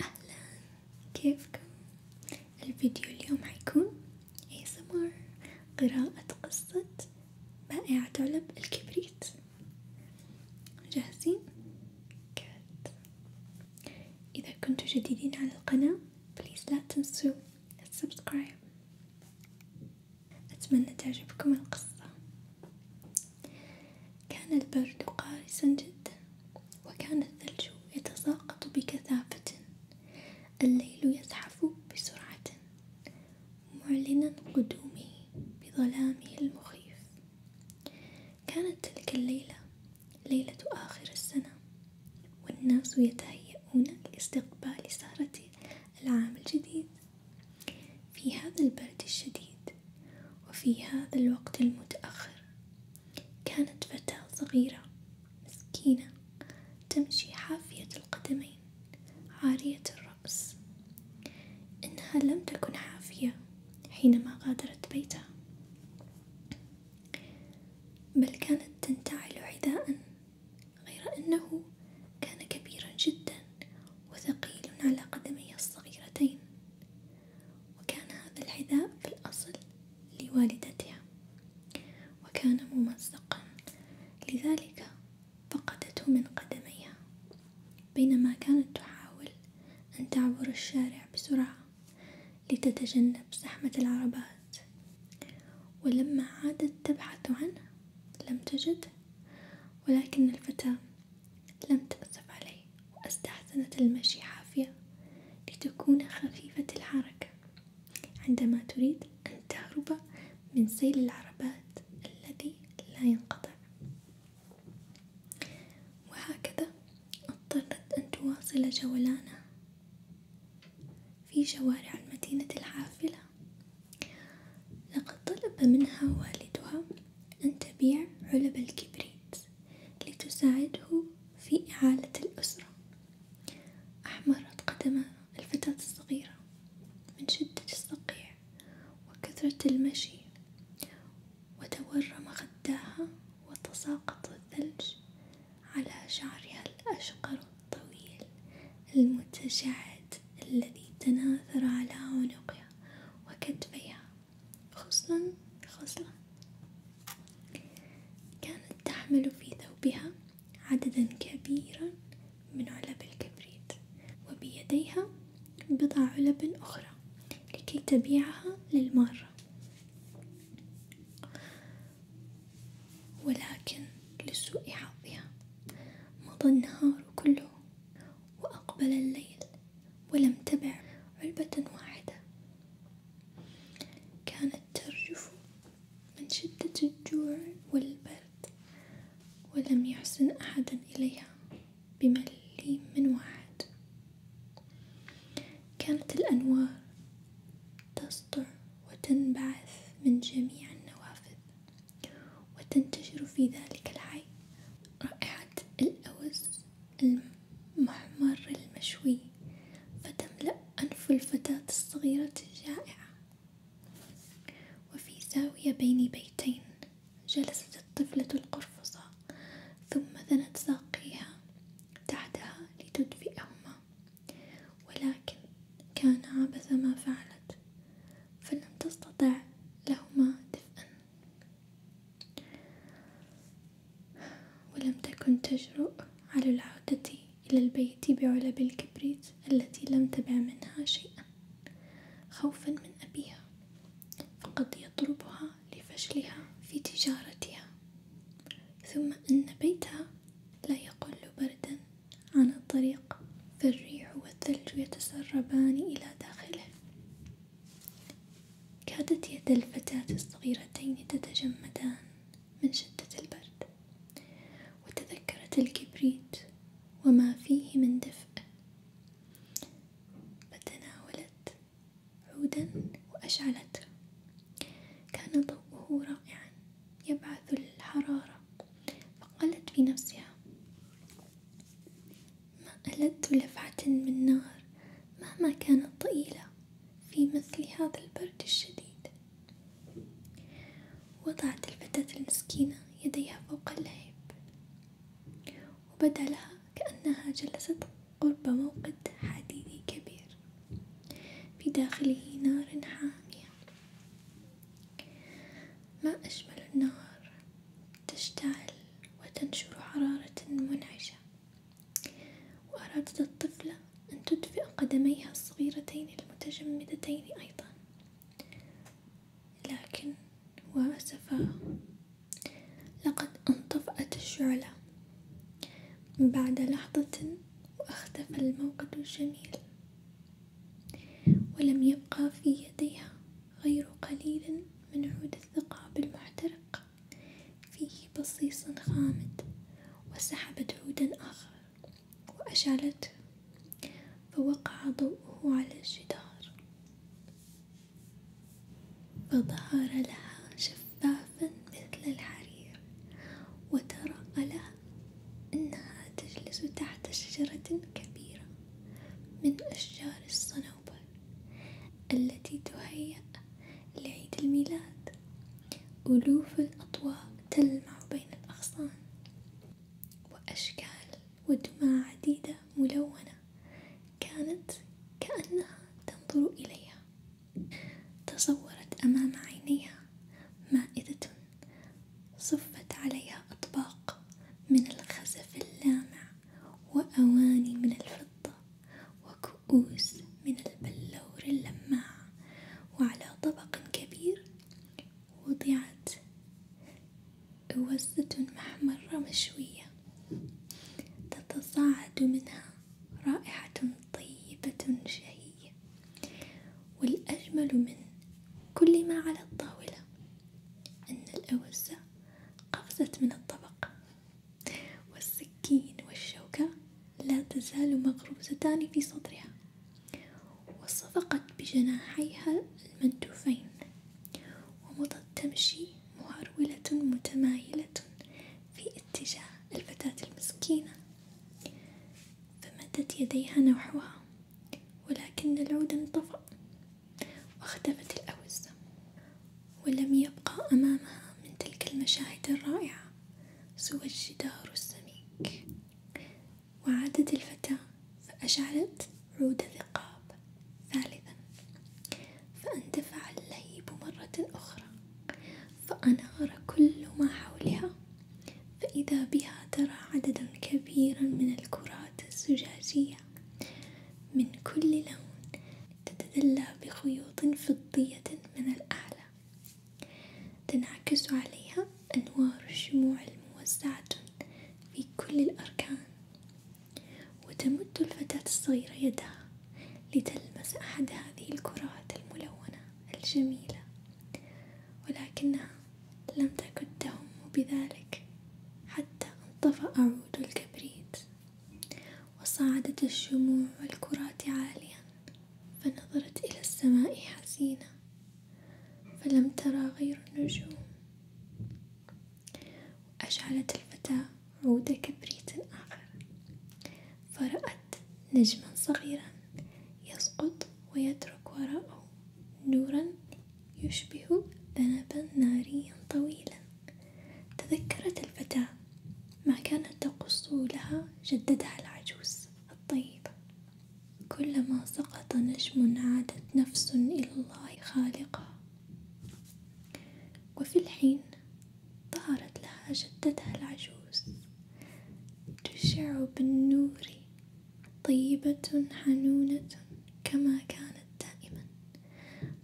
أهلا كيفكم؟ الفيديو اليوم حيكون ASMR قراءة قصة بائعة علب الكبريت جاهزين؟ كات إذا كنتم جديدين على القناة بليز لا تنسوا السبسكرايب أتمنى تعجبكم القصة كان البرد قارسا جدا وكان الثلج يتساقط بكثافة الليل يزحف بسرعة معلنا قدومه بظلامه المخيف كانت تلك الليلة ليلة آخر السنة والناس يتهيئون لاستقبال سهرة العام الجديد في هذا البرد الشديد وفي هذا الوقت المتأخر كانت فتاة صغيرة مسكينة تمشي حافية القدمين عارية الرأس إنها لم تكن حافية حينما غادرت بيتها بل كانت تنتعل حذاء غير أنه كان كبيرا جدا وثقيل على قدمي الصغيرتين وكان هذا الحذاء في الأصل لوالدتها وكان ممزقا لذلك فقدته من قدميها بينما كانت تحاول أن تعبر الشارع بسرعة لتتجنب زحمة العربات ولما عادت تبحث عنه لم تجده ولكن الفتاة لم تأسف علي واستحسنت المشي حافية لتكون خفيفة الحركة عندما تريد أن تهرب من سيل العربات الذي لا ينقطع وهكذا اضطرت أن تواصل جولانها في شوارع المدينة الحافلة لقد طلب منها والدها أن تبيع علب الكبريت لتساعده في إعالة الأسرة، أحمرت قدم الفتاة الصغيرة من شدة الصقيع وكثرة المشي، وتورم خداها وتساقط الثلج على شعرها الأشقر الطويل المتجعد الذي تناثر على عنقها وكتفيها خصلا خصلا كانت تحمل في ثوبها عددا كبيرا من علب الكبريت وبيديها بضع علب أخرى لكي تبيعها للمارة ولكن لسوء حظها مضى النهار كله وأقبل الليل ولم تبع علبة واحدة كانت ترجف من شدة الجوع والبرد ولم يحسن أحد إليها بمليم من واحد كانت الأنوار تسطع وتنبعث من جميع النوافذ وتنتشر في ذلك الحي رائحة الأوز المحمر المشوي فتملأ أنف الفتاة الصغيرة الجائعة وفي زاوية بين بيتين جلست الطفلة القرفصة ثم ذنت ساقيها تحتها لتدفئهما ولكن كان عبث ما فعلت فلم تستطع لهما دفئا ولم تكن تجرؤ على العودة إلى البيت بعلب الكبريت التي لم تبع منها شيئا خوفا من أبيها فقد يضربها لفشلها في تجارتها ثم أن بيتها لا يقل بردا عن الطريق فالريح والثلج يتسربان إلى داخله كادت يد الفتاة الصغيرتين تتجمدان من شدة البرد وتذكرت الكبريت وما فيه من دفء فتناولت عودا وأشعلته كان ضوءه رائعا يبعث الحرارة فقالت في نفسها ما ألدت لفعة من نار مهما كانت طويلة في مثل هذا البرد الشديد وضعت الفتاة المسكينة يديها فوق اللهيب وبدا لها كأنها جلست قرب موقد حديدي كبير في داخله نار حامية ما أجمل النار تشتعل وتنشر حرارة منعشة وأرادت الطفلة أن تدفئ قدميها الصغيرتين المتجمدتين أيضا لكن وأسفا لقد انطفأت الشعلة بعد لحظة وأختفى الموقد الجميل ولم يبقى في يديها غير قليل من عود الثقاب المحترق فيه بصيص خامد وسحبت عودا آخر وأشعلته فوقع ضوءه على الجدار فظهر لها شفافا مثل الحرير وترأى لها أنها تجلس تحت شجرة كبيرة من أشجار الصنوبر التي تهيأ لعيد الميلاد ألوف الأضواء تلمع بين الأغصان وأشكال ودموع عديدة ملونة كانت كأنها تنظر إليها تصورت أمام عينيها مائدة صفت عليها أطباق من الخزف اللامع وأواني من الفضة وكؤوس من البلور اللماع وعلى طبق كبير وضعت وزة محمرة مشوية تتصاعد منها رائحة طيبة شهية والأجمل من كل ما على الطاولة أن الأوزة قفزت من الطبق والسكين والشوكة لا تزال مغروزتان في صدرها وصفقت بجناحيها المندوفين ومضت تمشي مهرولة متمايلة في اتجاه الفتاة المسكينة فمدت يديها نحوها ولكن العود انطفأ واختفت الأوزة ولم يبقى أمامها من تلك المشاهد الرائعة سوى الجدار السميك وعادت الفتاة فأشعلت عود ثقاب ثالثا فاندفع اللهيب مرة أخرى فأنار كل ما حولها فإذا بها ترى عددا كبيرا من الكرات الزجاجية من كل لون تتدلى بخيوط فضية من الأعلى تنعكس عليها أنوار الشموع الموزعة في كل الأركان وتمد الفتاة الصغيرة يدها لتلمس أحد هذه الكرات الملونة الجميلة ولكنها لم تكن تهم بذلك حتى انطفأ عود الكبريت وصعدت الشموع والكرات عاليا فنظرت إلى السماء حزينة فلم ترى غير النجوم وأشعلت الفتاة عود كبريت آخر فرأت نجما صغيرا يسقط ويترك وراءه نورا يشبه ذنبا ناريا طويلا تذكرت الفتاة ما كانت تقص لها جدتها العجوز الطيبة كلما سقط نجم عادت نفس إلى الله خالقها وفي الحين ظهرت لها جدتها العجوز تشع بالنور طيبة حنونة كما كانت دائما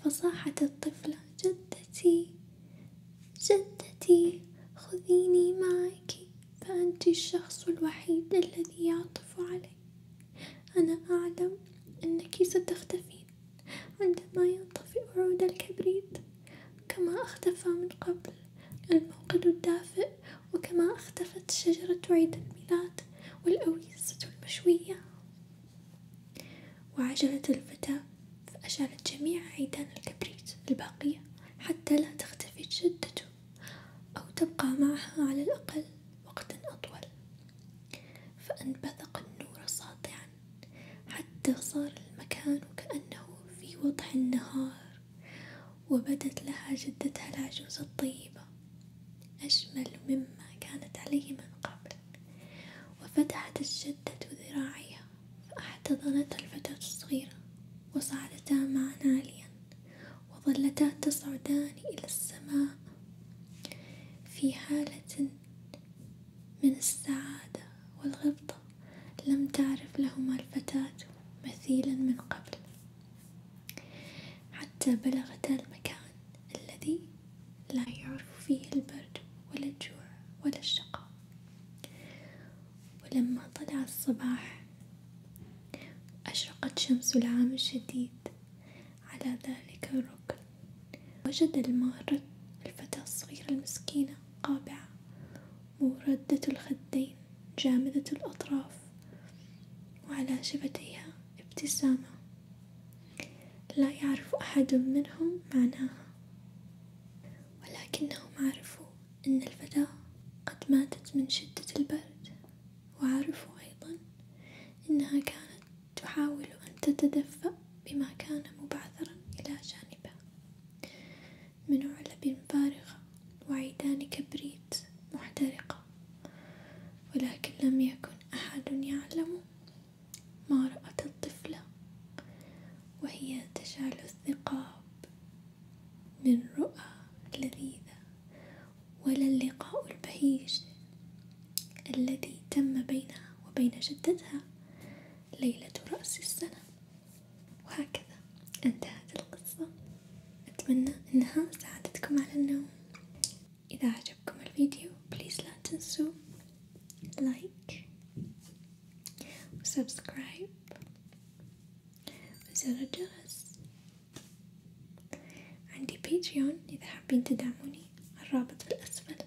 فصاحت الطفلة جدتي جدتي خذيني معك فأنت الشخص الوحيد الذي يعطف علي أنا أعلم أنك ستختفين عندما ينطفئ عود الكبريت كما اختفى من قبل الموقد الدافئ وكما اختفت شجرة عيد الميلاد والأويزة المشوية وعجلت الفتاة فأشعلت جميع عيدان الكبريت الباقية حتى لا تختفي الجدة أو تبقى معها على الأقل وقتا أطول فأنبثق النور ساطعا حتى صار المكان كأنه في وضح النهار وبدت لها جدتها العجوز الطيبة أجمل مما كانت عليه من قبل وفتحت الجدة ذراعيها فأحتضنت الفتاة الصغيرة وصعدتا معا عاليا وظلتا تصعدان إلى السماء في حالة من السعادة والغبطة لم تعرف لهما الفتاة مثيلا من قبل حتى بلغتا المكان الذي لا يعرف فيه البرد ولا الجوع ولا الشقاء ولما طلع الصباح أشرقت شمس العام الشديد على ذلك الركن وجد المار الفتاة الصغيرة المسكينة قابعة موردة الخدين جامدة الأطراف وعلى شفتيها ابتسامة لا يعرف أحد منهم معناها ولكنهم عرفوا أن الفتاة قد ماتت من شدة البرد وعرفوا أيضا أنها كانت تحاول أن تتدفأ بما كان مبعثرا إلى جانبها من علب فارغة وعيدان كبريت محترقة ولكن لم يكن أحد يعلم ما رأت الطفلة وهي تشعل الثقاب من رؤى لذيذة ولا اللقاء البهيج الذي تم بينها وبين جدتها ليلة رأس السنة وهكذا انتهت القصة أتمنى أنها ساعدتكم على النوم إذا عجبكم الفيديو بليز لا تنسوا لايك وسبسكرايب وزر الجرس عندي باتريون إذا حابين تدعموني الرابط في الأسفل